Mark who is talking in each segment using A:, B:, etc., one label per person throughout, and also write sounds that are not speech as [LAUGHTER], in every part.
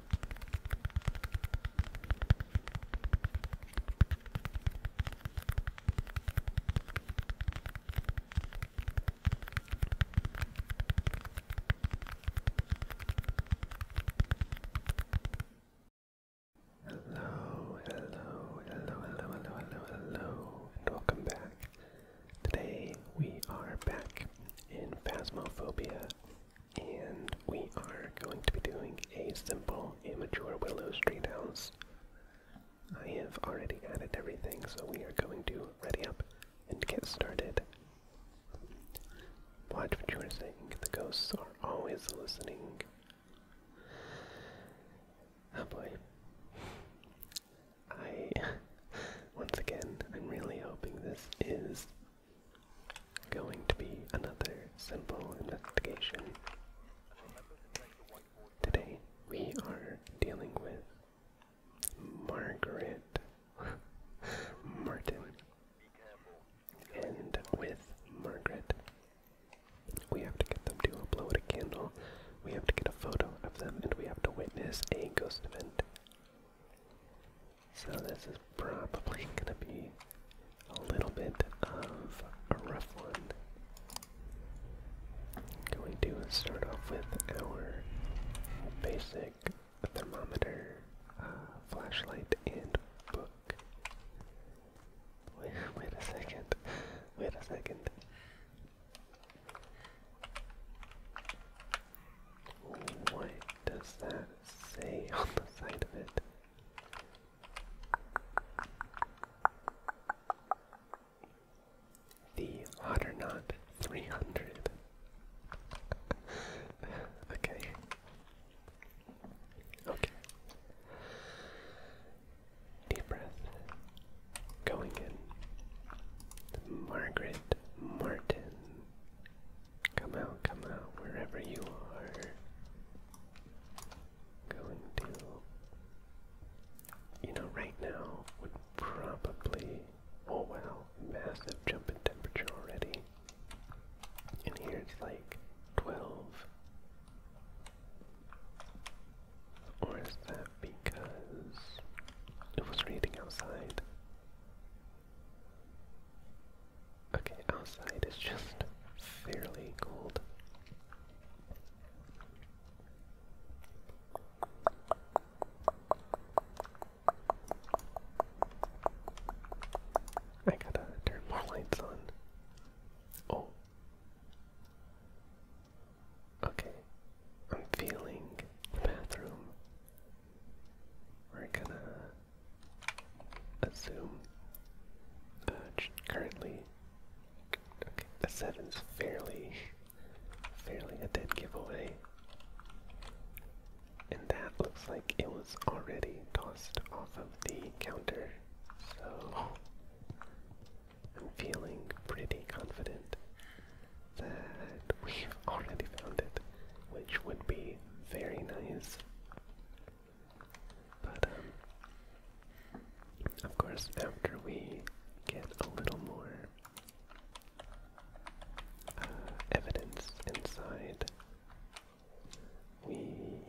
A: Hello, hello, hello, hello, hello, hello, hello, and welcome back. Today we are back in Phasmophobia and we are going to be doing a simple immature willow street house. I have already added everything, so we are going to ready up and get started. Watch what you are saying, the ghosts are always listening. Oh boy. I, [LAUGHS] once again, I'm really hoping this is Going to be another simple investigation. Today we are dealing with Margaret [LAUGHS] Martin. And with Margaret, we have to get them to blow out a candle, we have to get a photo of them, and we have to witness a ghost event. So this is probably going to be a little bit of a rough one. Going to start off with our basic thermometer, uh, flashlight, and book. wait a second. Wait a second. What does that say on the side of it? The Otter 300. [LAUGHS] okay. Okay. Deep breath. Going in. Margaret Martin. Come out, come out, wherever you are. Going to. You know, right now would probably. Oh well, massive jump in temperature already. And here it's like 12. Or is that because it was raining outside? Okay, outside is just fairly cold. I gotta turn more lights on. Oh. Okay, I'm feeling bathroom. We're gonna assume. Uh, currently, the seven's fairly, fairly a dead giveaway. And that looks like it was already tossed off of the counter, so I'm feeling pretty confident that we've already found it which would be very nice. But, um, of course, after we get a little more uh, evidence inside, we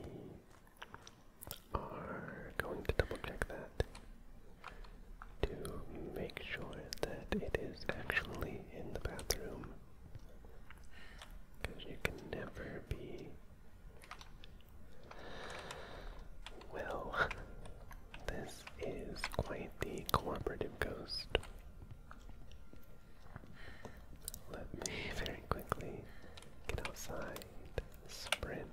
A: are going to double check that to make sure that it is actually in the bathroom because you can never be well. [LAUGHS] This is quite the cooperative ghost. Let me very quickly get outside. Sprint.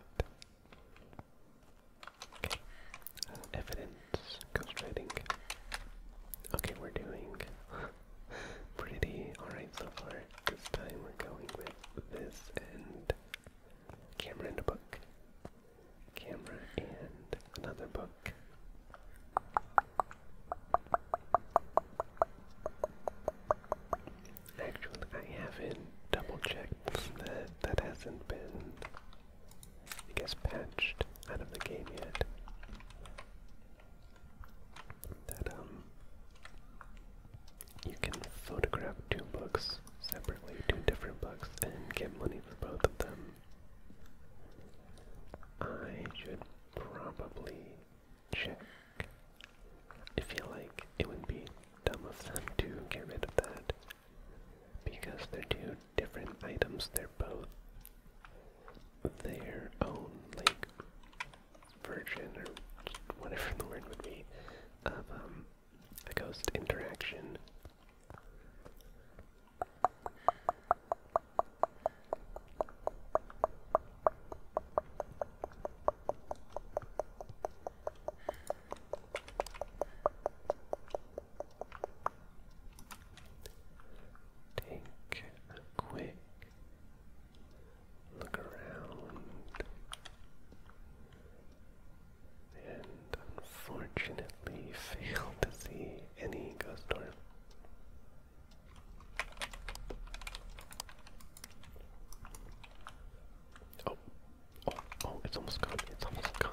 A: Okay. Uh, Let's Okay, we're doing [LAUGHS] pretty alright so far. This time we're going with this and camera and a book. Camera and another book. Actually, I haven't double checked that that hasn't been I guess patched out of the game yet. That um you can photograph two books separately, two different books, and get money for both of them. I should probably check. I feel like it would be dumb of them to get rid of that because they're two different items. They're both their own, like, version or whatever the word would be of um, a ghost interaction. Take a quick look around, and unfortunately [LAUGHS] fail to see any ghost orb. Oh, oh, oh! It's almost gone. It's almost gone.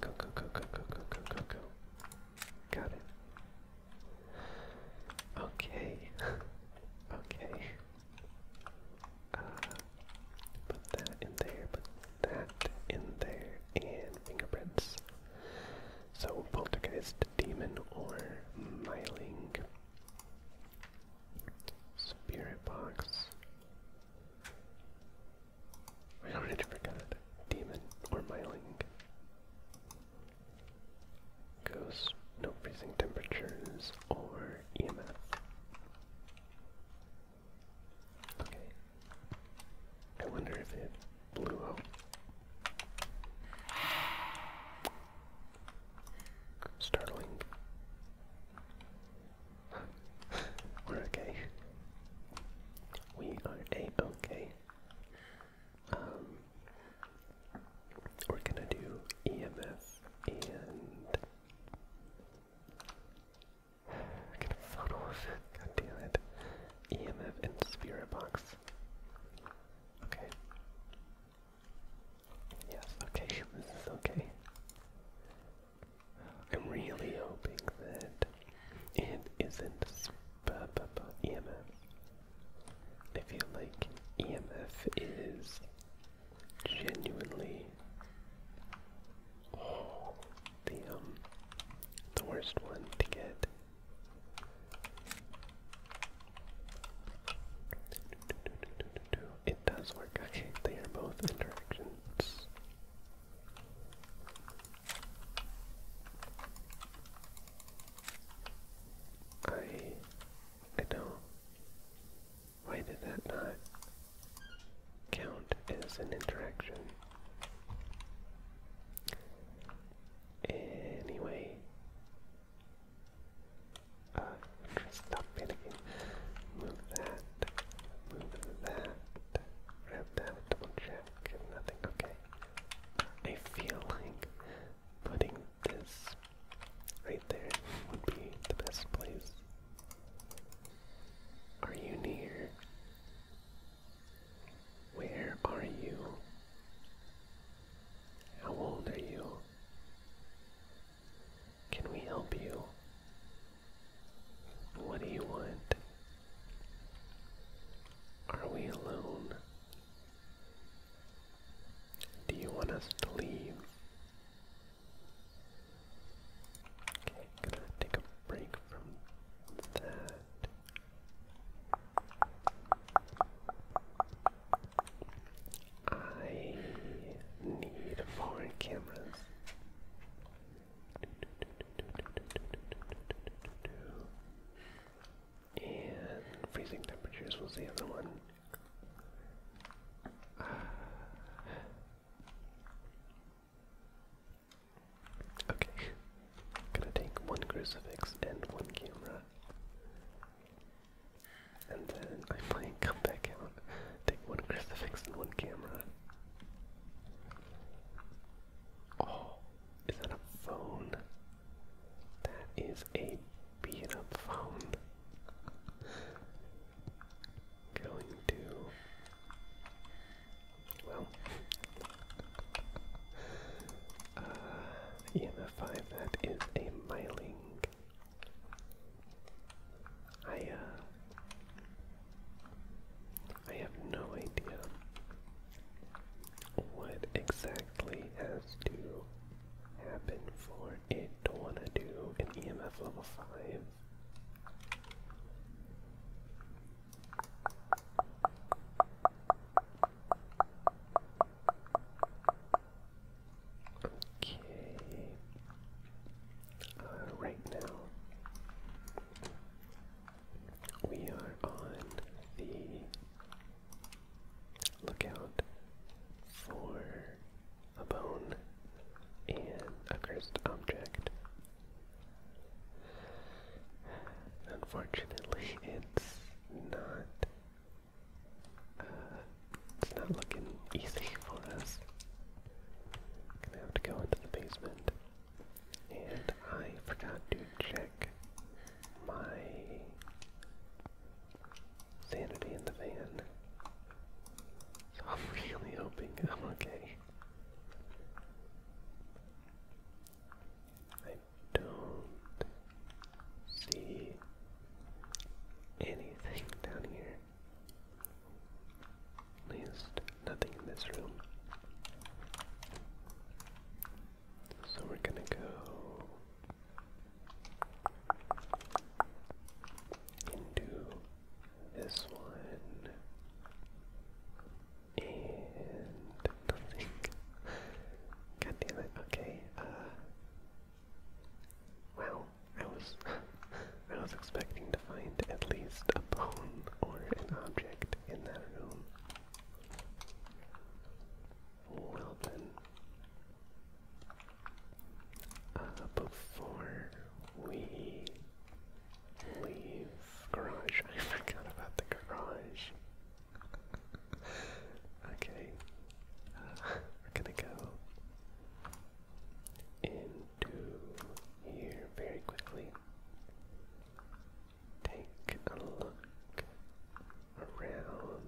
A: Go, go, go, go, go, go, go, go, go. Got it. Okay. [LAUGHS] okay. Uh, put that in there, put that in there, and fingerprints. So, poltergeist, demon, or my link. Spirit box. I already forgot. Demon or myling. Ghost, no freezing temperatures or EMF. Okay. I wonder if it blew up. Startling. We're okay. We are a okay. Um, we're gonna do EMF and I can funnel off it. God damn it. EMF and spirit box. Okay. Yes, okay, this is okay. I'm really hoping that it isn't EMF. I feel like EMF is genuinely the um the worst one to get. It does work. Okay, they are both interactions. I don't why did that not count as an interaction? Anyway, uh, stop panicking. Move that. Move that. Grab that. Double check. Nothing. Okay. I feel like putting this right there would be the best place. Are you near? Where are you? How old are you? Can we help you? What do you want? Are we alone? Do you want us to leave? Okay, gonna take a break from that. I need foreign cameras. And freezing temperatures was the other one. Ah. okay, gonna take one crucifix and one camera. And then I might come back out, take one crucifix and one camera. Oh, is that a phone? That is a beat up phone. Going to. Well. Uh, EMF5, is a miling I uh I have no idea what exactly has to happen for it to wanna do an EMF level five. Okay. right now, we are on the lookout for a bone and a cursed object. Unfortunately, it's not it's not looking easy for us. Gonna have to go into the basement. And I forgot to check my sanity in the van. So I'm [LAUGHS] really hoping I'm okay. I don't see anything down here least nothing in this room. So we're gonna go into this one. And nothing. God damn it, okay. Uh I was I was expecting to find at least a bone or an object in that room. Well then, uh, before we leave garage, [LAUGHS] I forgot about the garage. okay, we're gonna go into here very quickly. Take a look around.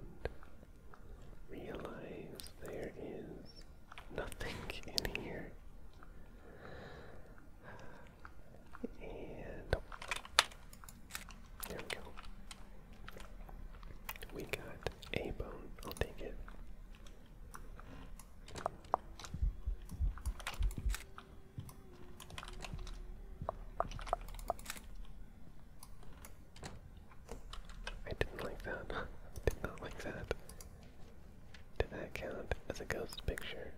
A: Realize there is nothing in here. And there we go. We got a bone. I'll take it. I didn't like that. [LAUGHS] did not like that. Did that count as a ghost picture?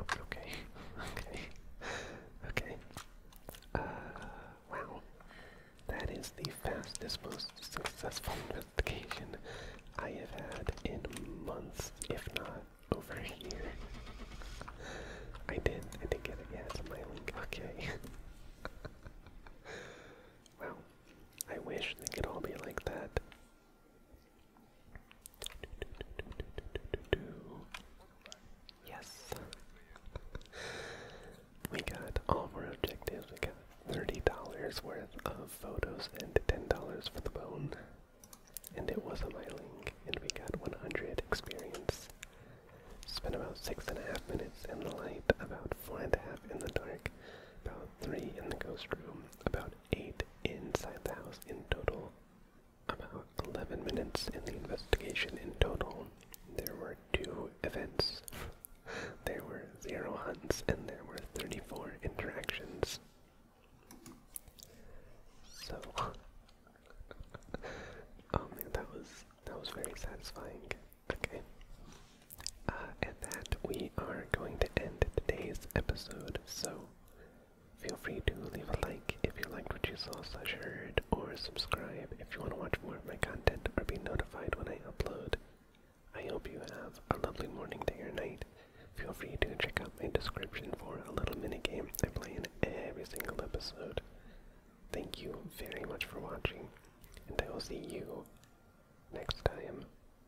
A: Okay, okay, [LAUGHS] okay. Uh, that is the fastest, most successful investigation I have had in months, if not over a year. I did, I did get it. Yeah, my link. Okay. [LAUGHS] wow, I wish they could all be like that. Yes. We got all of our objectives. We got $30 worth of photos and $10 for the bone. And it was a miling, and we got 100 experience. Spent about six and a half minutes in the light, about four and a half in the dark, about three in the ghost room, about eight inside the house in total. About 11 minutes in the investigation in total. There were two events, [LAUGHS] there were zero hunts, and there were 34 interactions. So, [LAUGHS] oh man, that was that was very satisfying. Okay, uh, that we are going to end today's episode, so feel free to leave a like if you liked what you saw slash heard, or subscribe if you want to watch more of my content or be notified when I upload. I hope you have a lovely morning, day, or night. Feel free to check out my description for a little mini game I play in every single episode. Thank you very much for watching, and I will see you next time.